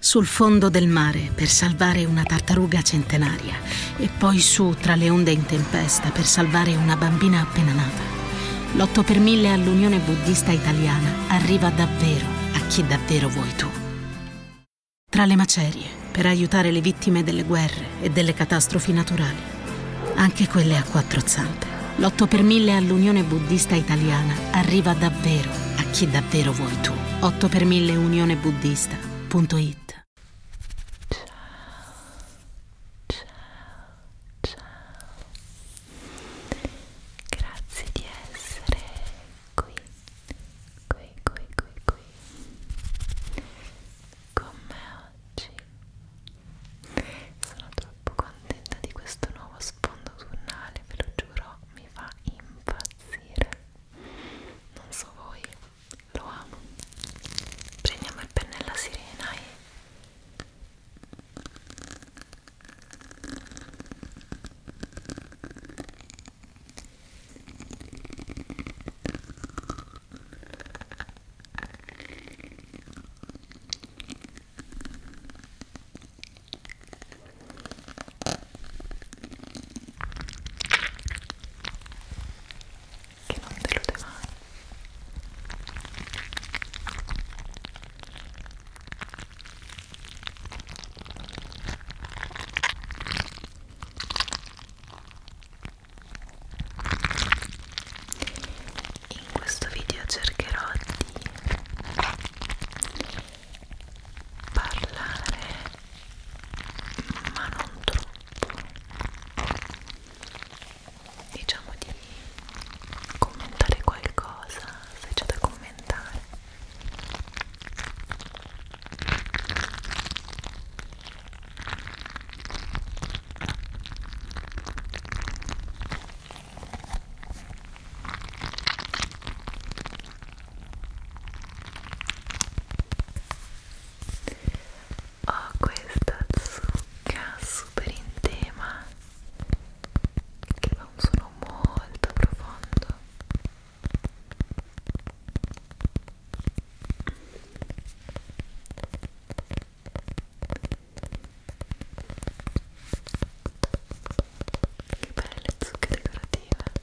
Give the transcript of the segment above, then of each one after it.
Sul fondo del mare per salvare una tartaruga centenaria e poi su tra le onde in tempesta per salvare una bambina appena nata. L'8 per 1000 all'Unione Buddista Italiana arriva davvero a chi davvero vuoi tu. Tra le macerie per aiutare le vittime delle guerre e delle catastrofi naturali, anche quelle a quattro zampe. L'8 per 1000 all'Unione Buddista Italiana arriva davvero a chi davvero vuoi tu. 8 per 1000 Unione Buddista.it Grazie di essere qui, qui, qui, qui, qui, con me oggi. Sono troppo contenta di questo nuovo sfondo tunnale, ve lo giuro, mi fa impazzire non so voi lo amo prendiamo il pennello a sirena e che non delude mai in questo video cercherò di parlare ma non troppo diciamo di commentare qualcosa se c'è da commentare ho questa zucca super in tema che fa un suono molto profondo che belle zucche decorative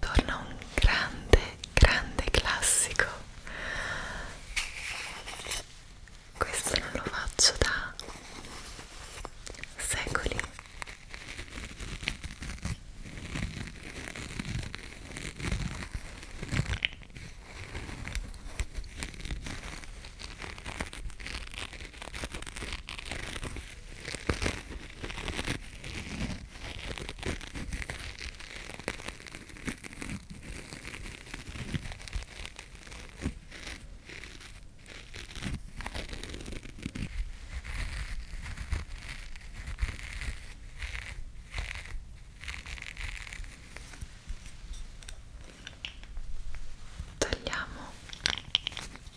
Torna un grande, grande classico. Questo non lo faccio da secoli tagliamo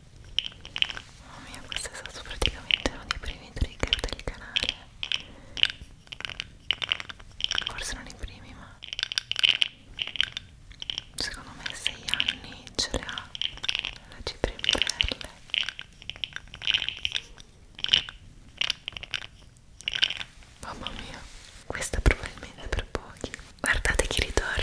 Mamma oh mia, questo è stato praticamente uno dei primi trigger del canale. Forse non i primi, ma secondo me 6 anni ce le ha la cipria in perle. Mamma mia, questa probabilmente per pochi. Guardate chi ritorna.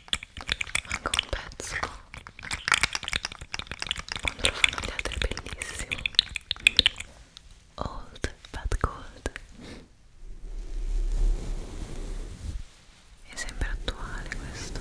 manca un pezzo quando lo fanno gli altri è bellissimo old but gold è sempre attuale questo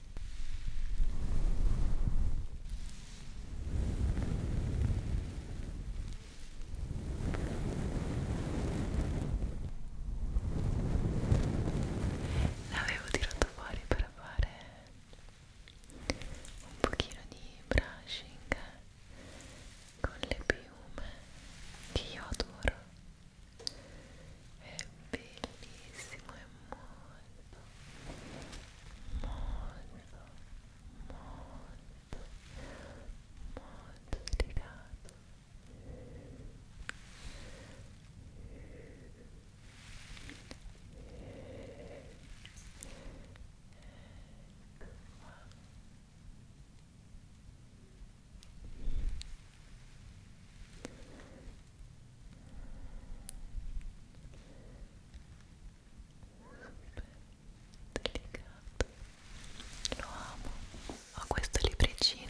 L'avevo tirato fuori per fare un pochino di brushing con le piume che io adoro è bellissimo è molto molto molto molto delicato Ecco delicato lo amo ho questo libricino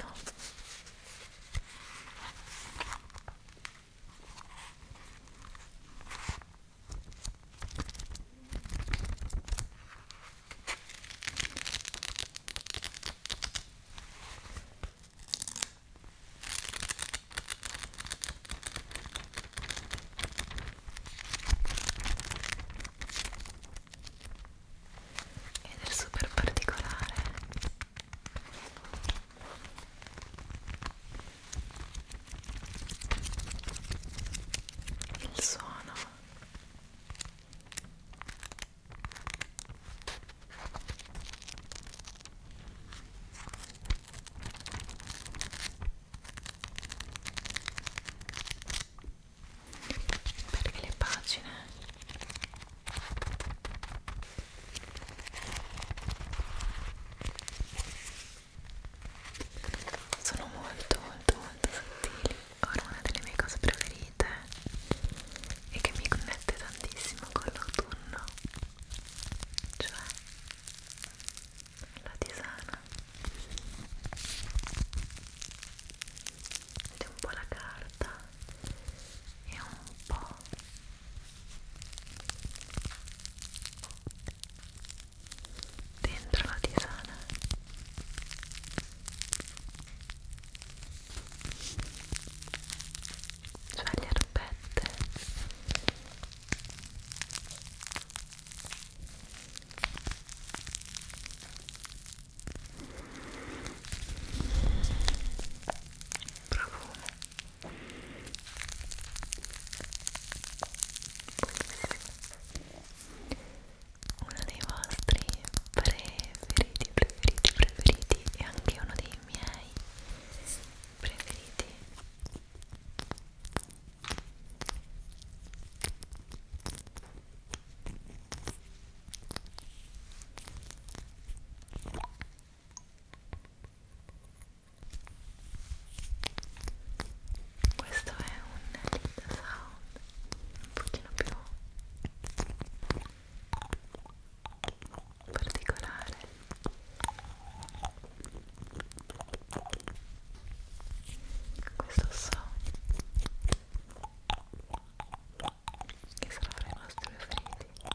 ed è super particolare il suono perché le pagine sono molto molto molto sottili ora una delle mie cose preferite e che mi connette tantissimo con l'autunno cioè la tisana c'è un po' la carta e un po' dentro la tisana cioè le erbette profumo uno dei vostri preferiti preferiti preferiti e anche uno dei i miei preferiti questo è un lead sound un pochino più particolare questo so che sarà fra i nostri preferiti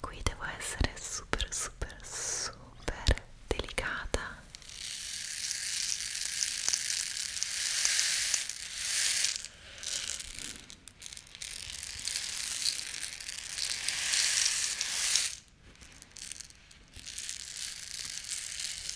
Qui devo essere super super super delicata.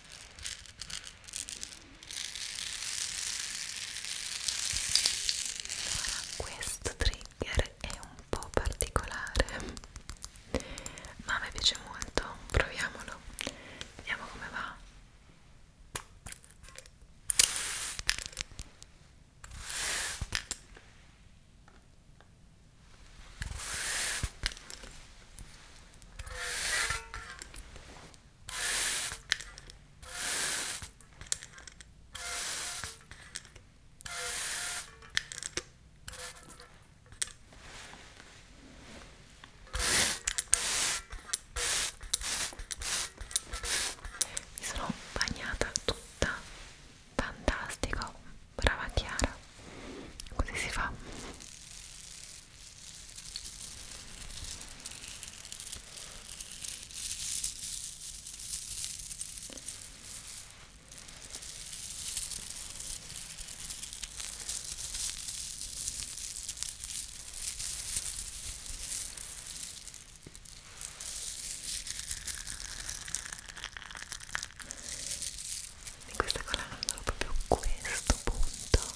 Allora, questo trigger è un po' particolare, ma a me piace molto. Proviamolo, vediamo come va. Mi sono bagnata tutta, fantastico, brava Chiara, così si fa questa colonna andava proprio a questo punto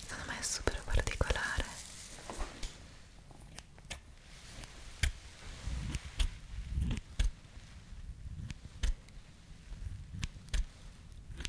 Secondo me è super particolare. Mm.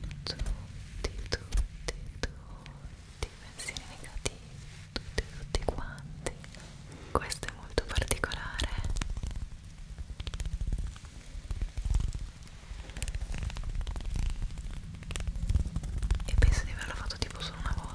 tutti, tutti, tutti i pensieri negativi, tutti, tutti quanti. Questo è molto particolare. E penso di averlo fatto tipo solo una volta.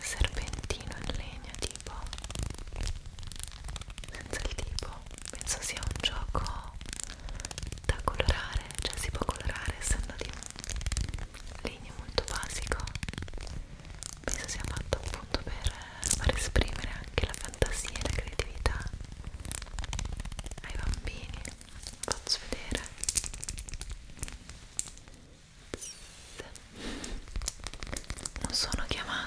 serpentino in legno tipo senza il tipo penso sia un gioco da colorare cioè si può colorare essendo di legno molto basico penso sia fatto appunto per far esprimere anche la fantasia e la creatività ai bambini faccio vedere non sono chiamate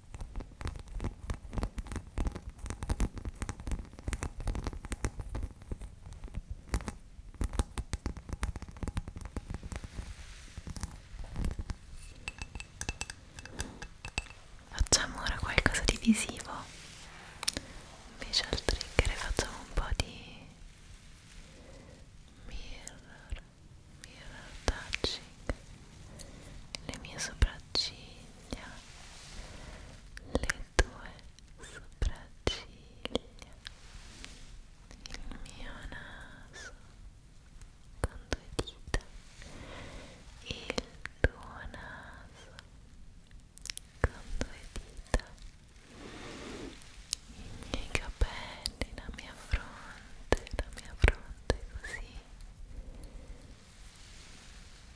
Facciamo ora qualcosa di visivo, invece al trigger facciamo un po' di mirror, mirror touching le mie sopracciglia, le tue sopracciglia, il mio naso con due dita, il tuo naso con due dita, i miei capelli, la mia fronte, la mia fronte così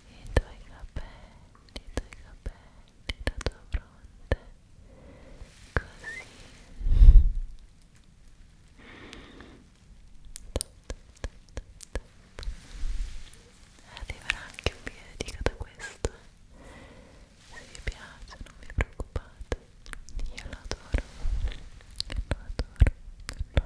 i tuoi capelli, i tuoi capelli, la tua fronte, così arriverà anche un video da questo se vi piace non vi preoccupate io lo adoro lo adoro lo adoro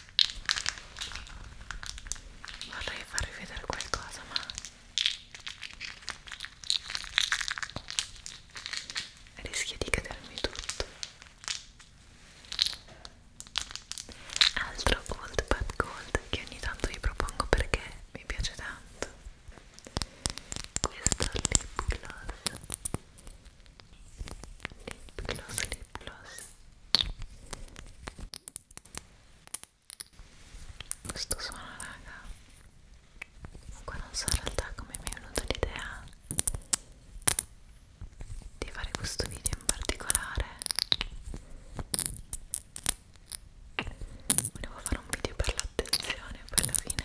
vorrei farvi vedere qualcosa ma rischia di cadermi tutto altro gold but gold che ogni tanto vi propongo perché mi piace tanto questo lip gloss lip gloss lip gloss questo suono raga comunque non so in realtà come mi è venuta l'idea di fare questo video in particolare volevo fare un video per l'attenzione poi alla fine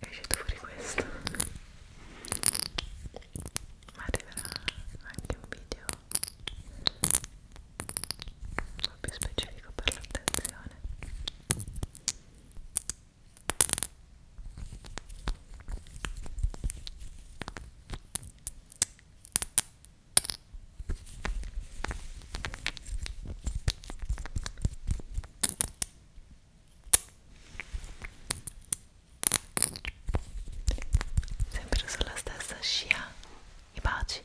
è uscito fuori questo ma arriverà anche un video un po' più specifico per l'attenzione sempre sulla stessa scia i baci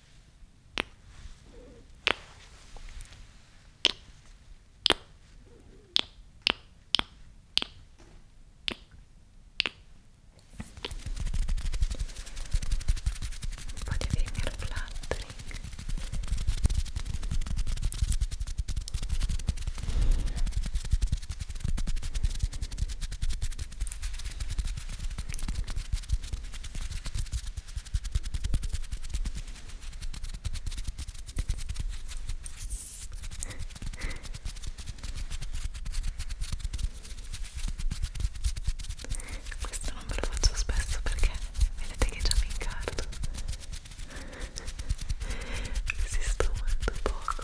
Potete venire flattering questo non ve lo faccio spesso perché vedete che già mi incarto. Resisto molto poco.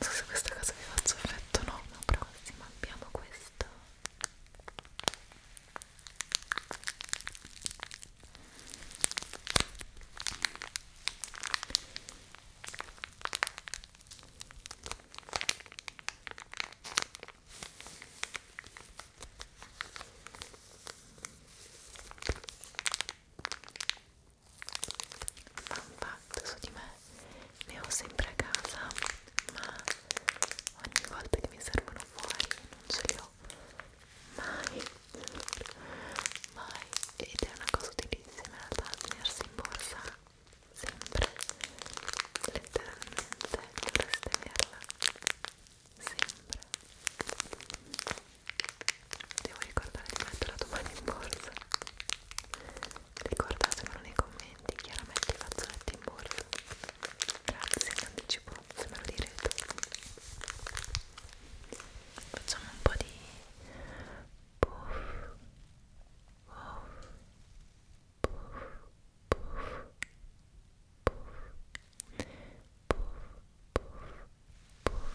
so se questa cosa vi faccio effetto o no ma prossima abbiamo questo fun fact su di me ne ho sempre a casa ma ogni volta che mi servono fuori non ce li ho mai mai ed è una cosa utilissima in realtà tenersi in borsa sempre letteralmente dovreste averla sempre devo ricordare di metterla domani in borsa ricordatemelo nei commenti chiaramente i fazzoletti in borsa grazie in anticipo se me lo direte facciamo un po' di puff puff puff puff puff puff puff puff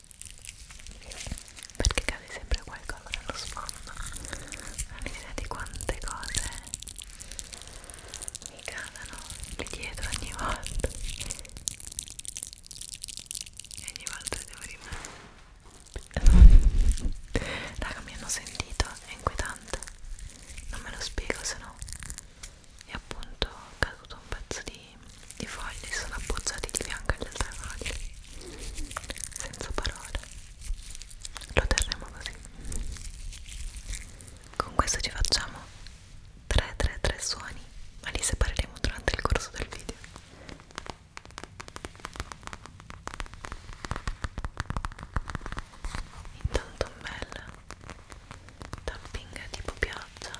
perché cade sempre qualcosa nello sfondo non idea di quante cose mi cadono lì dietro ogni volta e ogni volta devo rimanere raga mi hanno sentito è inquietante non me lo spiego se no è appunto caduto un pezzo di di foglie sono appoggiati di fianco agli altre foglie senza parole lo terremo così con questo ci facciamo 3 3 3 suoni ma li separeremo durante il corso del video intanto un bel tapping tipo pioggia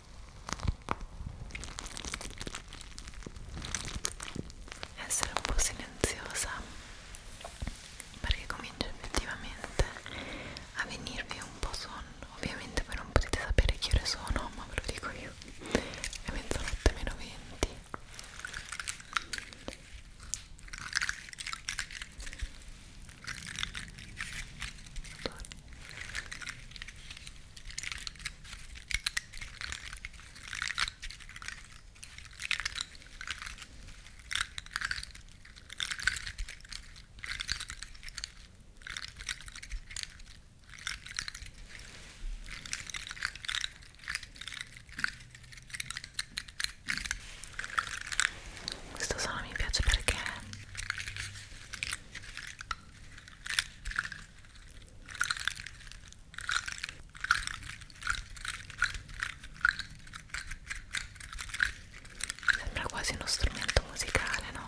essere un po' silenziosa perché comincia effettivamente a venirvi un po' sonno ovviamente voi non potete sapere che ore sono ma ve lo dico io è mezzanotte meno 20 Torno. Questo suono mi piace perché Sembra quasi uno strumento musicale, no?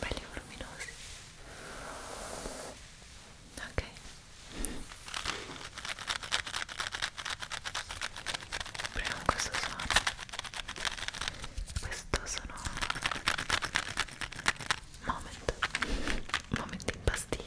belli voluminosi ok Proviamo questo suono. Questo sono moment. Moment in pastiglia.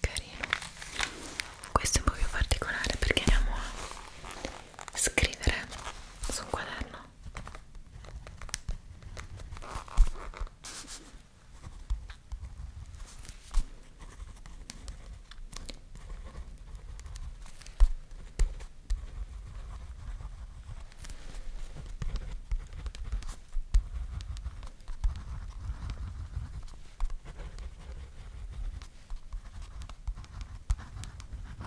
Carino, questo è un po' più particolare perché andiamo a scrivere su un quaderno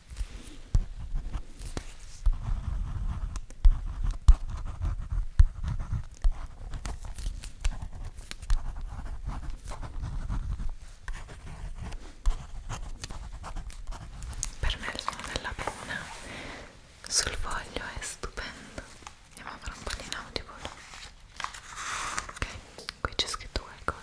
Per me il suono della penna sul foglio è stupendo. Andiamo a fare un po' di nautico. Ok, qui c'è scritto qualcosa.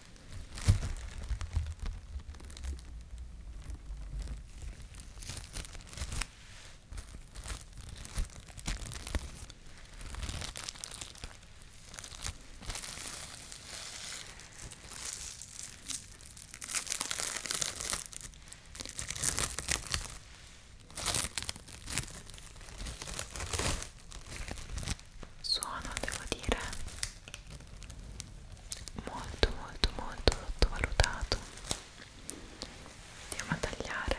Suono, devo dire, molto molto molto sottovalutato andiamo a tagliare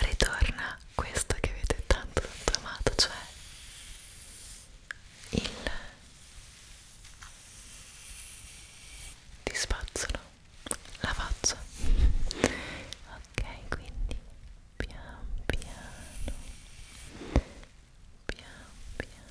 ritorna questo che avete tanto tanto amato cioè il ti spazzolo la faccia ok quindi pian piano pian piano pian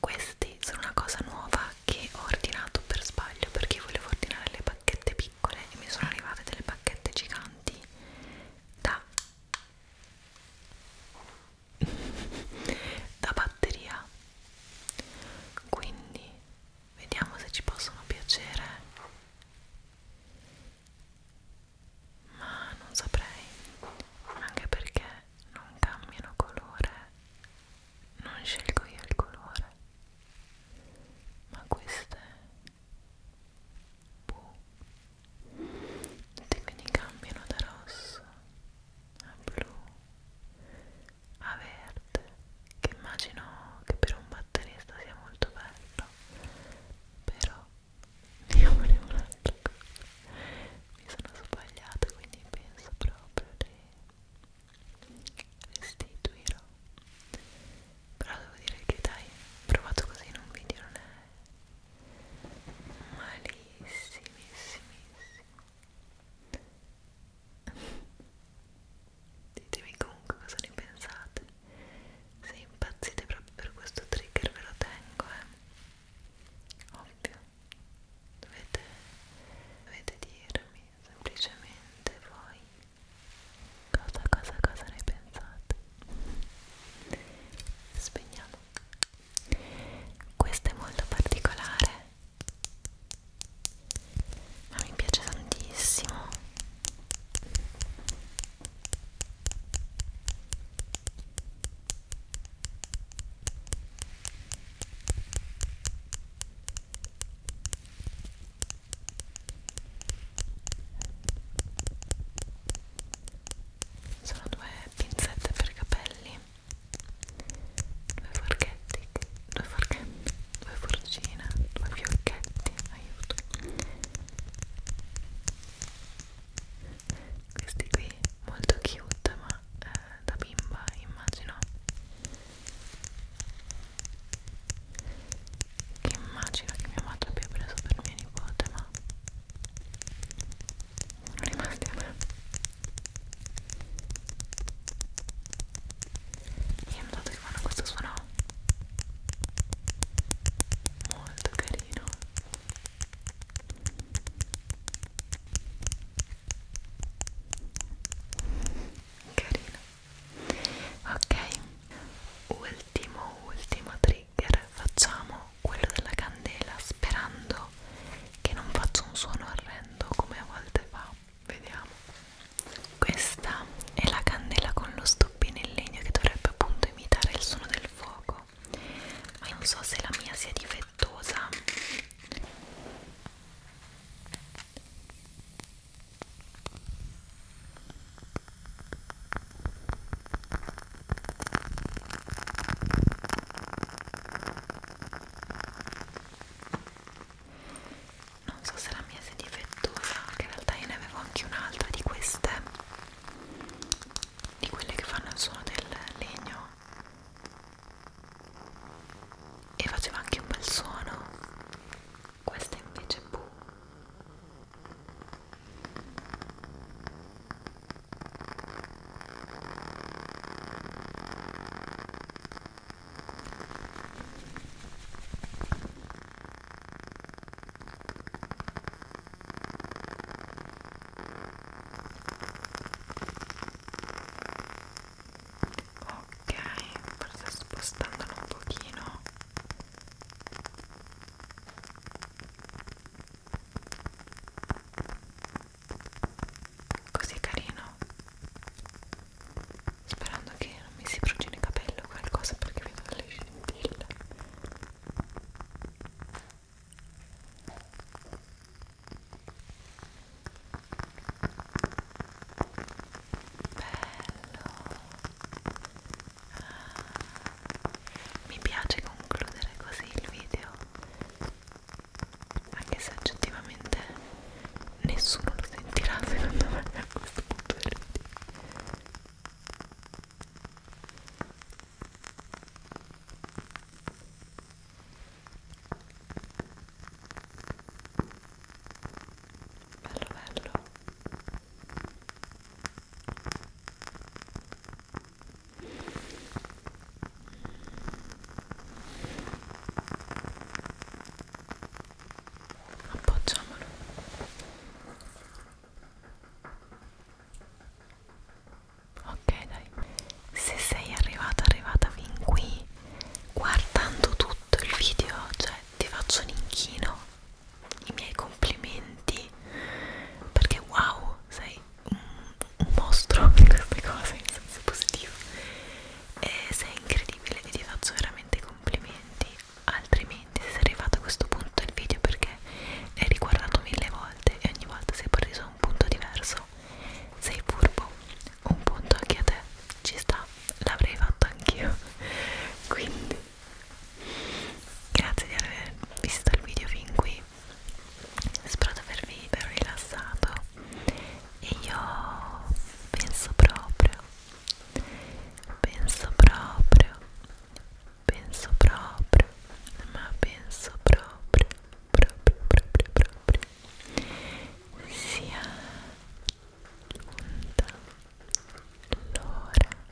Questi sono una cosa nuova che ho ordinato per sbaglio perché volevo ordinare le pacchette piccole e mi sono arrivate delle pacchette giganti da da batteria quindi vediamo se ci possono piacere ma non saprei anche perché non cambiano colore non scelgo io il colore ma queste blu boh. e quindi cambiano da rosso a blu a verde che immagino che per un batterista sia molto bello però io volevo un'altra cosa mi sono sbagliata quindi penso proprio di restituirò però devo dire che dai provato così in un video non è malissimissimo ditemi comunque cosa ne pensate se impazzite proprio per questo trigger ve lo tengo eh ovvio dovete, dovete dirmi semplicemente voi cosa cosa cosa ne pensate spegniamo questa è molto particolare ma mi piace tantissimo sono due pinzette per capelli due forchetti due forchetti due forcine due fiocchetti aiuto questi qui molto cute ma eh, da bimba immagino che immagino che mia madre abbia preso per mia nipote ma sono rimasti a me e ho notato che fanno questo suono molto carino carino ok ultimo ultimo trigger facciamo quello della candela sperando che non faccia un suono orrendo come a volte fa vediamo questa è la candela con lo stoppino in legno che dovrebbe appunto imitare il suono del fuoco ma non so se la mia sia difettosa non so se la mia sia difettosa che in realtà io ne avevo anche un'altra di queste di quelle che fanno il suono del legno e faceva anche un bel suono questa invece bu boh. Ok, forse spostandolo un pochino così carino sperando che non mi si brucino i capelli o qualcosa perché vedo le scintille bello mi piace concludere così il video anche se oggettivamente nessuno lo sentirà secondo me a questo punto del bello bello appoggiamolo ok dai se sei arrivata arrivata fin qui guardando tutto il video cioè ti faccio un inchino i miei complimenti perché wow sei un, un mostro in queste cose in senso positivo e sei incredibile e ti faccio veramente complimenti altrimenti se sei arrivato a questo punto del video perché l'hai riguardato mille volte e ogni volta sei preso a un punto diverso sei furbo un punto anche a te ci sta l'avrei fatto anch'io quindi grazie di aver visto il video fin qui spero di avervi ben rilassato e io penso proprio penso proprio penso proprio ma penso proprio proprio proprio proprio sia giunta l'ora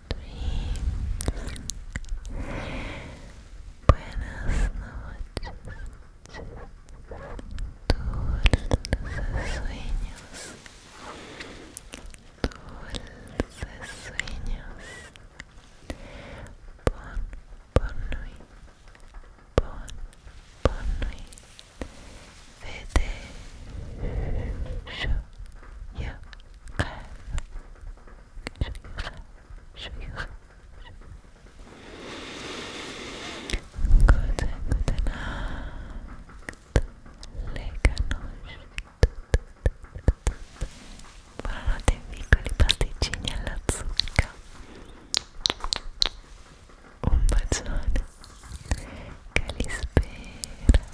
Buenas noches, dulces sueños, dulces sueños. Bon, bon nuit, bon, bon nuit. Vete, yo, yo, Buonanotte piccoli pasticcini alla zucca Un bacione Che li spera